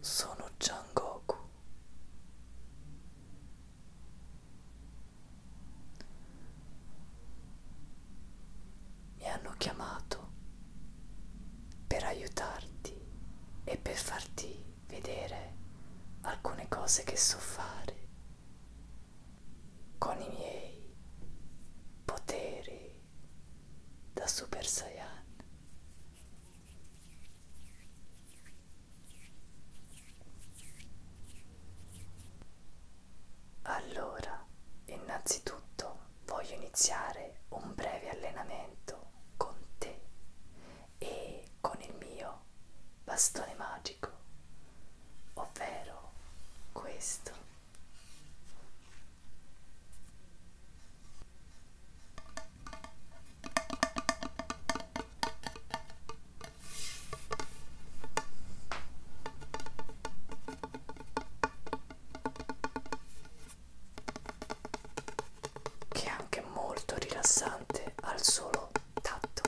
Sono Jangoku. Mi hanno chiamato per aiutarti e per farti vedere alcune cose che so fare con i miei poteri da Super Saiyan. Allora, innanzitutto voglio iniziare un breve allenamento con te e con il mio bastone magico, ovvero questo che è anche molto rilassante al solo tatto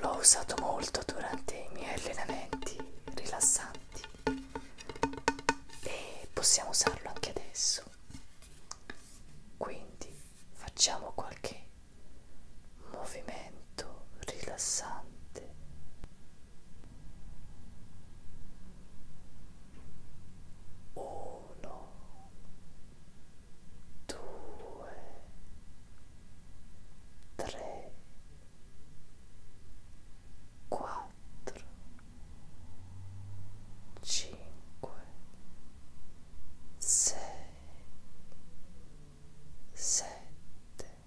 L'ho usato molto durante i miei allenamenti rilassanti e possiamo usarlo anche adesso. Quindi facciamo qualche movimento molto rilassante. Uno, due, tre, quattro, cinque, sei, sette,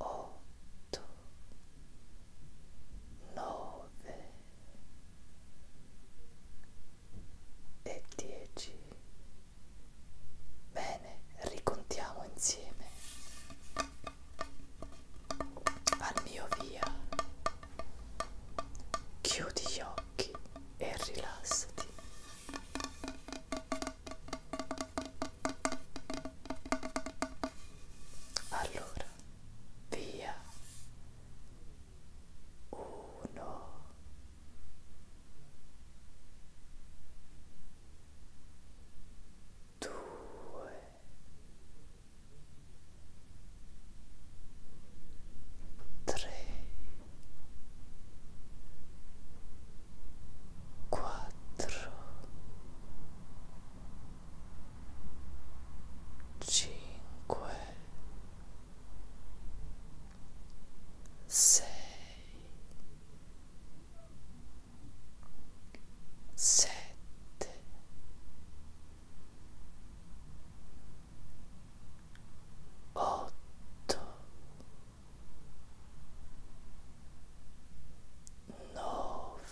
otto, nove e dieci. Bene, ricontiamo insieme al mio via. Chiudi gli occhi e rilassati allora via uno due tre quattro, cinque, sei, sette, otto nove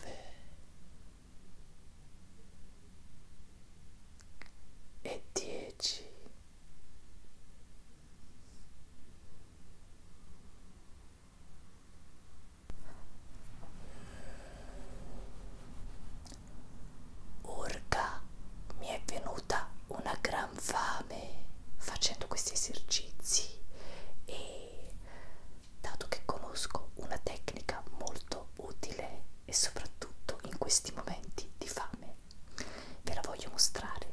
e dieci Urca, mi è venuta una gran l'infame facendo questi esercizi e dato che conosco una tecnica molto utile e soprattutto in questi momenti di fame ve la voglio mostrare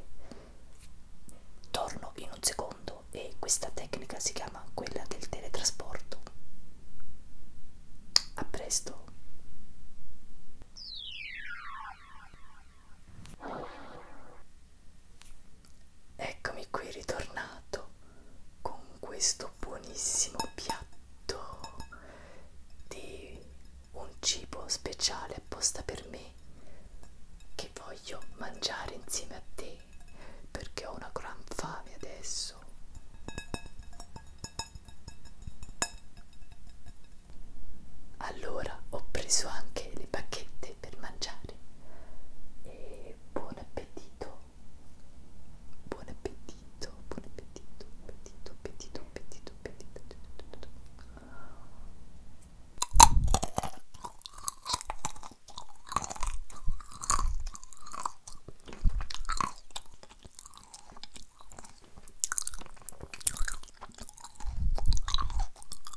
torno in un secondo e questa tecnica si chiama quella del teletrasporto a presto Eccomi qui ritornato con questo buonissimo piatto di un cibo speciale apposta per me che voglio mangiare insieme a te perché ho una gran fame adesso allora ho preso anche le bacchette per mangiare e buon appetito, buon appetito, buon appetito, appetito, appetito, appetito, appetito. appetito.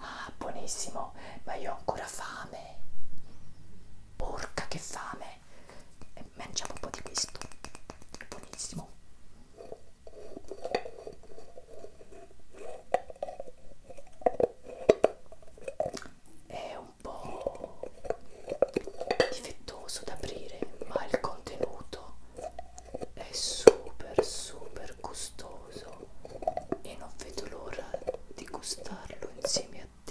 Ah, buonissimo, ma io ho ancora fame. Porca che fame. Eh, mangiamo un po' di questo. È buonissimo. È un po' difettoso da aprire, ma il contenuto è super super gustoso e non vedo l'ora di gustarlo insieme a te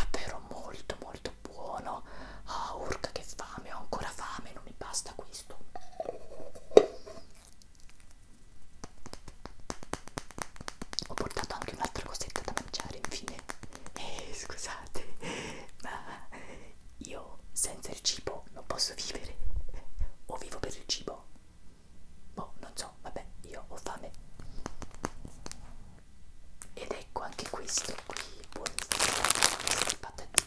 davvero molto molto buono ah oh, urca che fame ho ancora fame non mi basta questo ho portato anche un'altra cosetta da mangiare infine eh, scusate ma io senza il cibo non posso vivere o vivo per il cibo boh non so vabbè io ho fame ed ecco anche questo qui buonissimo patatino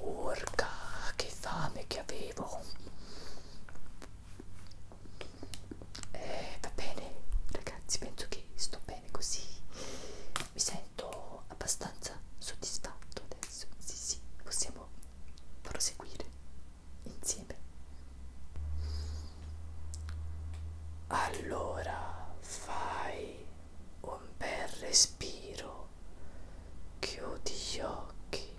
Urca, che fame che avevo! Eh, va bene, ragazzi, penso che sto bene così. Mi sento abbastanza soddisfatto adesso. Sì, sì, possiamo proseguire insieme. Allora fai un bel respiro Chiudi gli occhi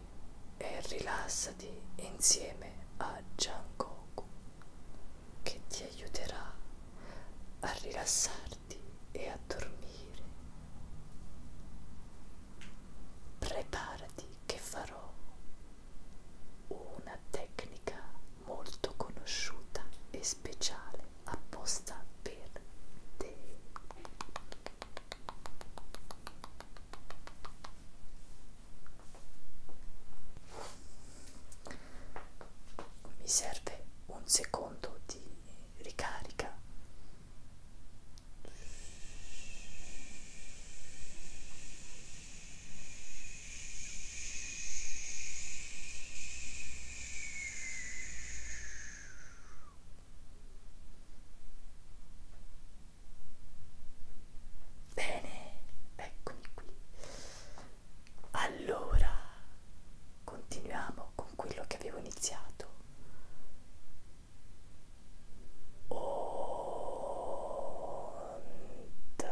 e rilassati insieme a Jangoku che ti aiuterà a rilassarti e a dormire. Preparati che farò una tecnica molto conosciuta e speciale apposta per te mi serve un secondo di ricarica Bene, eccomi qui. Allora, continuiamo con quello che avevo iniziato. Onda.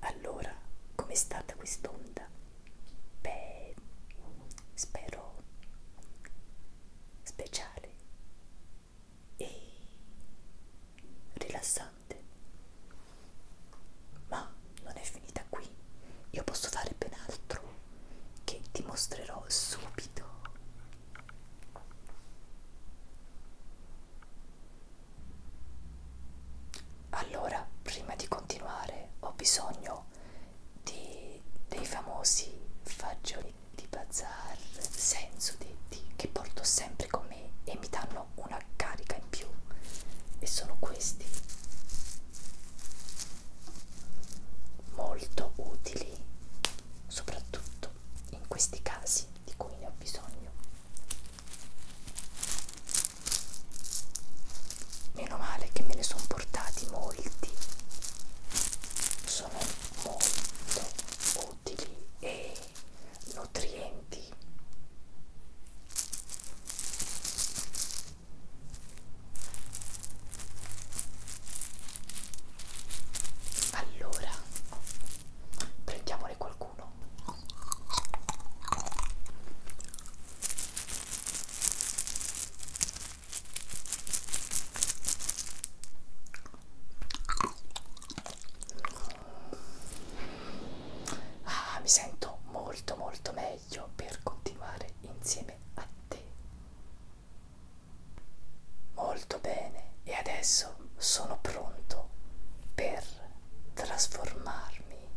Allora, com'è stata quest'onda? Beh, spero speciale e rilassante. Ma non è finita qui, io posso fare ben altro che ti mostrerò subito. Allora, prima di continuare, ho bisogno di, dei famosi fagioli di bazar, senso di oggetti che porto sempre con me e mi danno una carica in più e sono questi molto utili soprattutto in questi casi di cui ne ho bisogno meno male che me ne sono portati molti sono molto utili e nutrienti allora prendiamone qualcuno Ah, mi sento molto molto meglio per continuare insieme a te. Molto bene, e adesso sono pronto per trasformarmi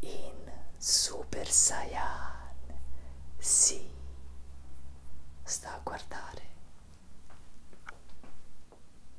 in Super Saiyan. Sì, sta a guardare.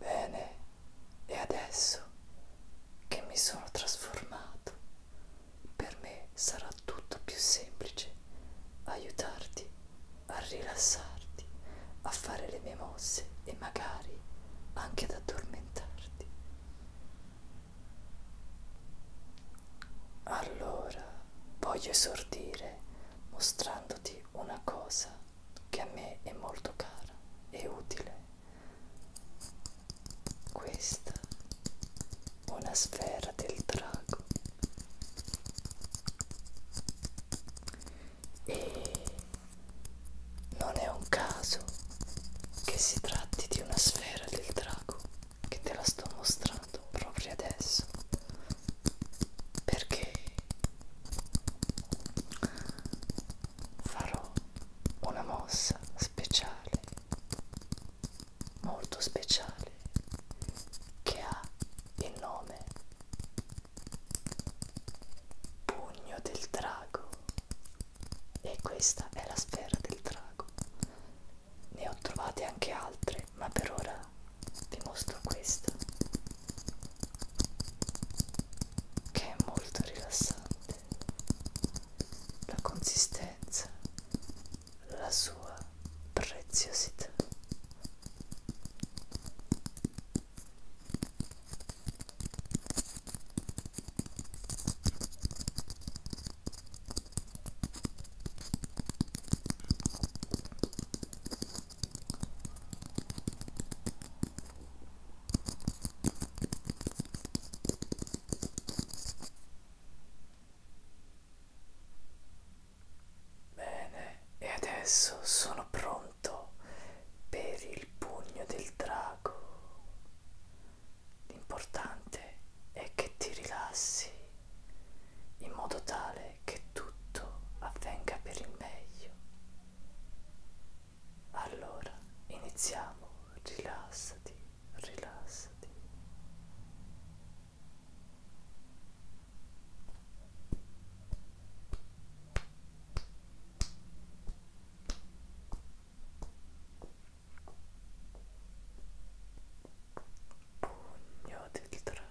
Bene, e adesso visto che mi sono trasformato, per me sarà tutto più semplice aiutarti a rilassarti, a fare le mie mosse e magari anche ad addormentarti. Allora voglio esordire mostrandoti una cosa che a me è molto cara e utile questa una sfera del drago e non è un caso che si tratti di una sfera del drago che te la sto mostrando proprio adesso perché farò una mossa speciale, molto speciale, che ha il nome Pugno del Drago. E questa è la sfera del drago. Ne ho trovate anche altre, ma per ora vi mostro questa che è molto rilassante la consistenza la sua preziosità Bene, e adesso sono pronto per il pugno del drago. L'importante è che ti rilassi in modo tale che tutto avvenga per il meglio. Allora, iniziamo, rilassati, rilassati. Pugno del drago.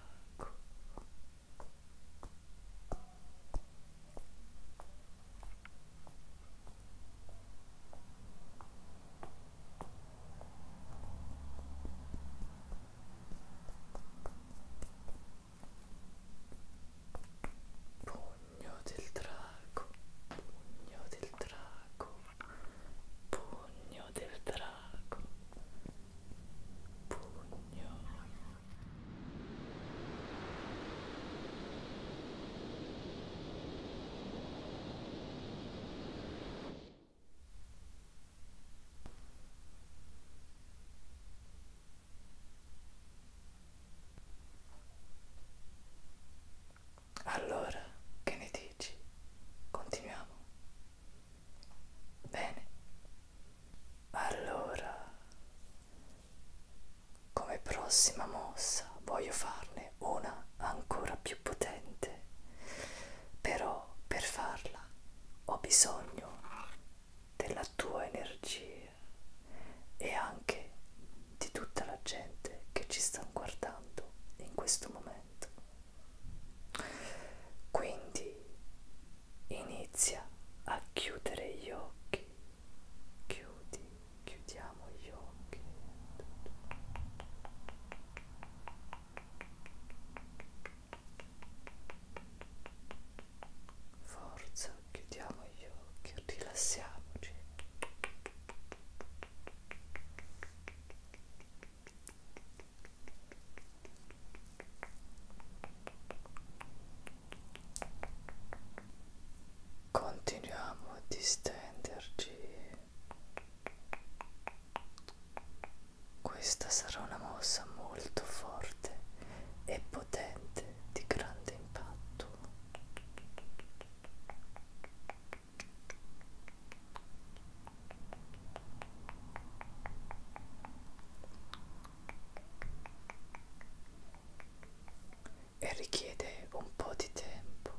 Pugno del drago, pugno del drago, pugno del drago, pugno allora, che ne dici? Continuiamo. Bene. Allora, come prossima mossa voglio farne una ancora più potente, però per farla ho bisogno della tua energia e anche di tutta la gente che ci sta guardando in questo momento. Quindi inizia a chiudere gli occhi chiudi, chiudiamo gli occhi forza, chiudiamo gli occhi, rilassiamoci Continuiamo a distenderci. Questa sarà una mossa molto forte e potente di grande impatto e richiede un po' di tempo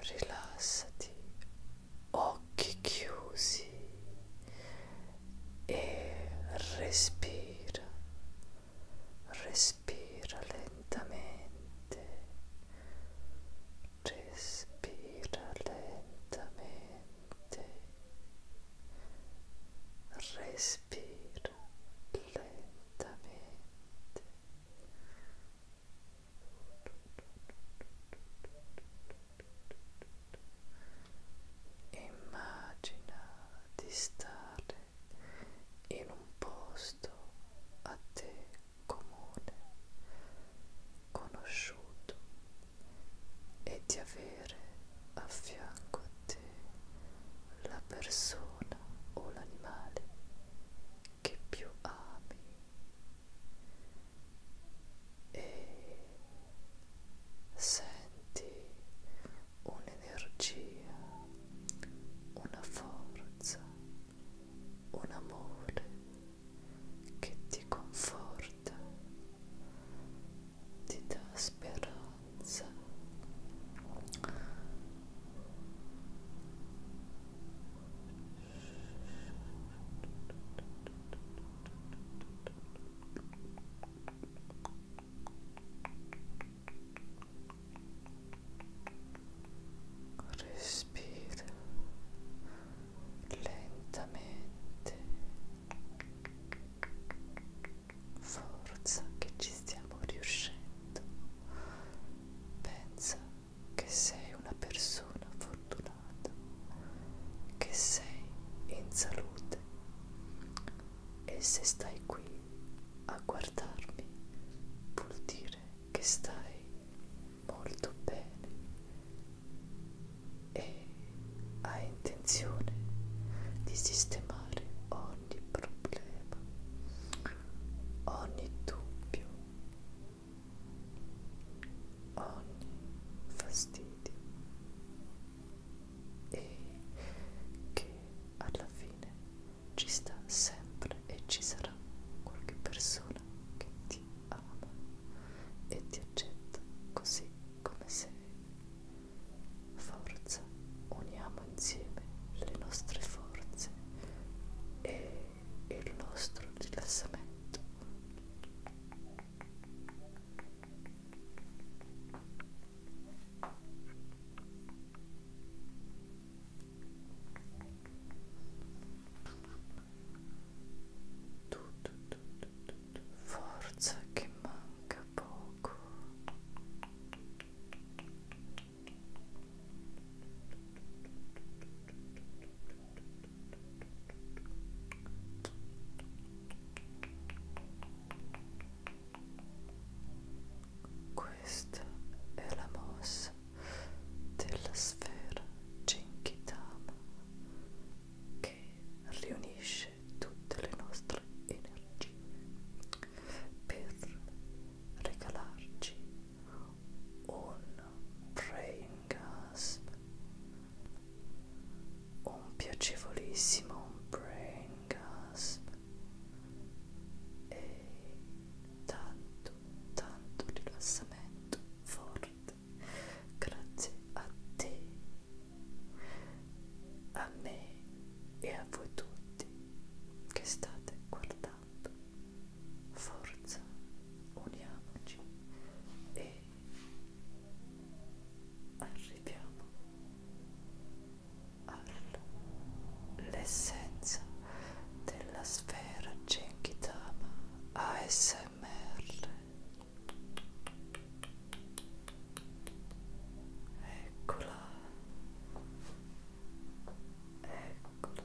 rilassati occhi chiusi e respira, respira lentamente, respira lentamente, respira lentamente. Respira Immagina di stare in un posto a te comune, conosciuto e di avere a fianco a te la persona o l'animale che più ami e senti un'energia, una forza, un amore che ti conforta, ti dà speranza respira lentamente forza che ci stiamo riuscendo pensa che sei una persona fortunata fortunato che sei in salute e se stai qui a guardarmi vuol dire che stai molto bene e hai intenzione di sistemare ogni problema, ogni dubbio ogni fastidio e che alla fine ci sta sempre e ci sarà qualche persona che ti ama e ti accetta così come sei. Forza, uniamo insieme le nostre forze e il nostro rilassamento tu, tu, tu, tu, tu. forza che manca poco questa è la mossa della sfera Genkidama che riunisce tutte le nostre energie per regalarci un brain gasp un piacevolissimo brain gasp e tanto tanto rilassamento forte grazie a te a me e a voi tutti che state guardando forza uniamoci e arriviamo all'essenza della sfera Genkidama ASMR eccola eccola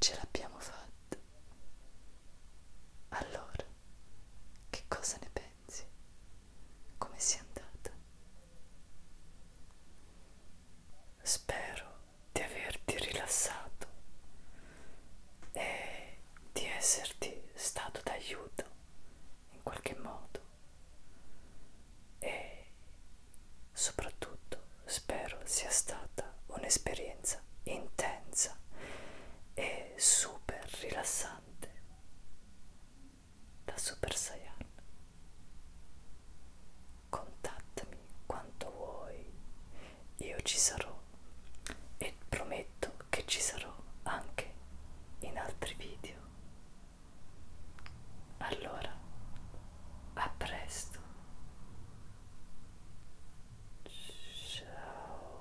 Ce l'abbiamo fatta. Allora, che cosa ne pensi? Come sia andata? Spero di averti rilassato e di esserti stato d'aiuto in qualche modo e soprattutto spero sia stata un'esperienza intensa e super rilassante da Super Saiyan. Contattami quanto vuoi, io ci sarò e prometto che ci sarò anche in altri video. Allora, a presto. Ciao.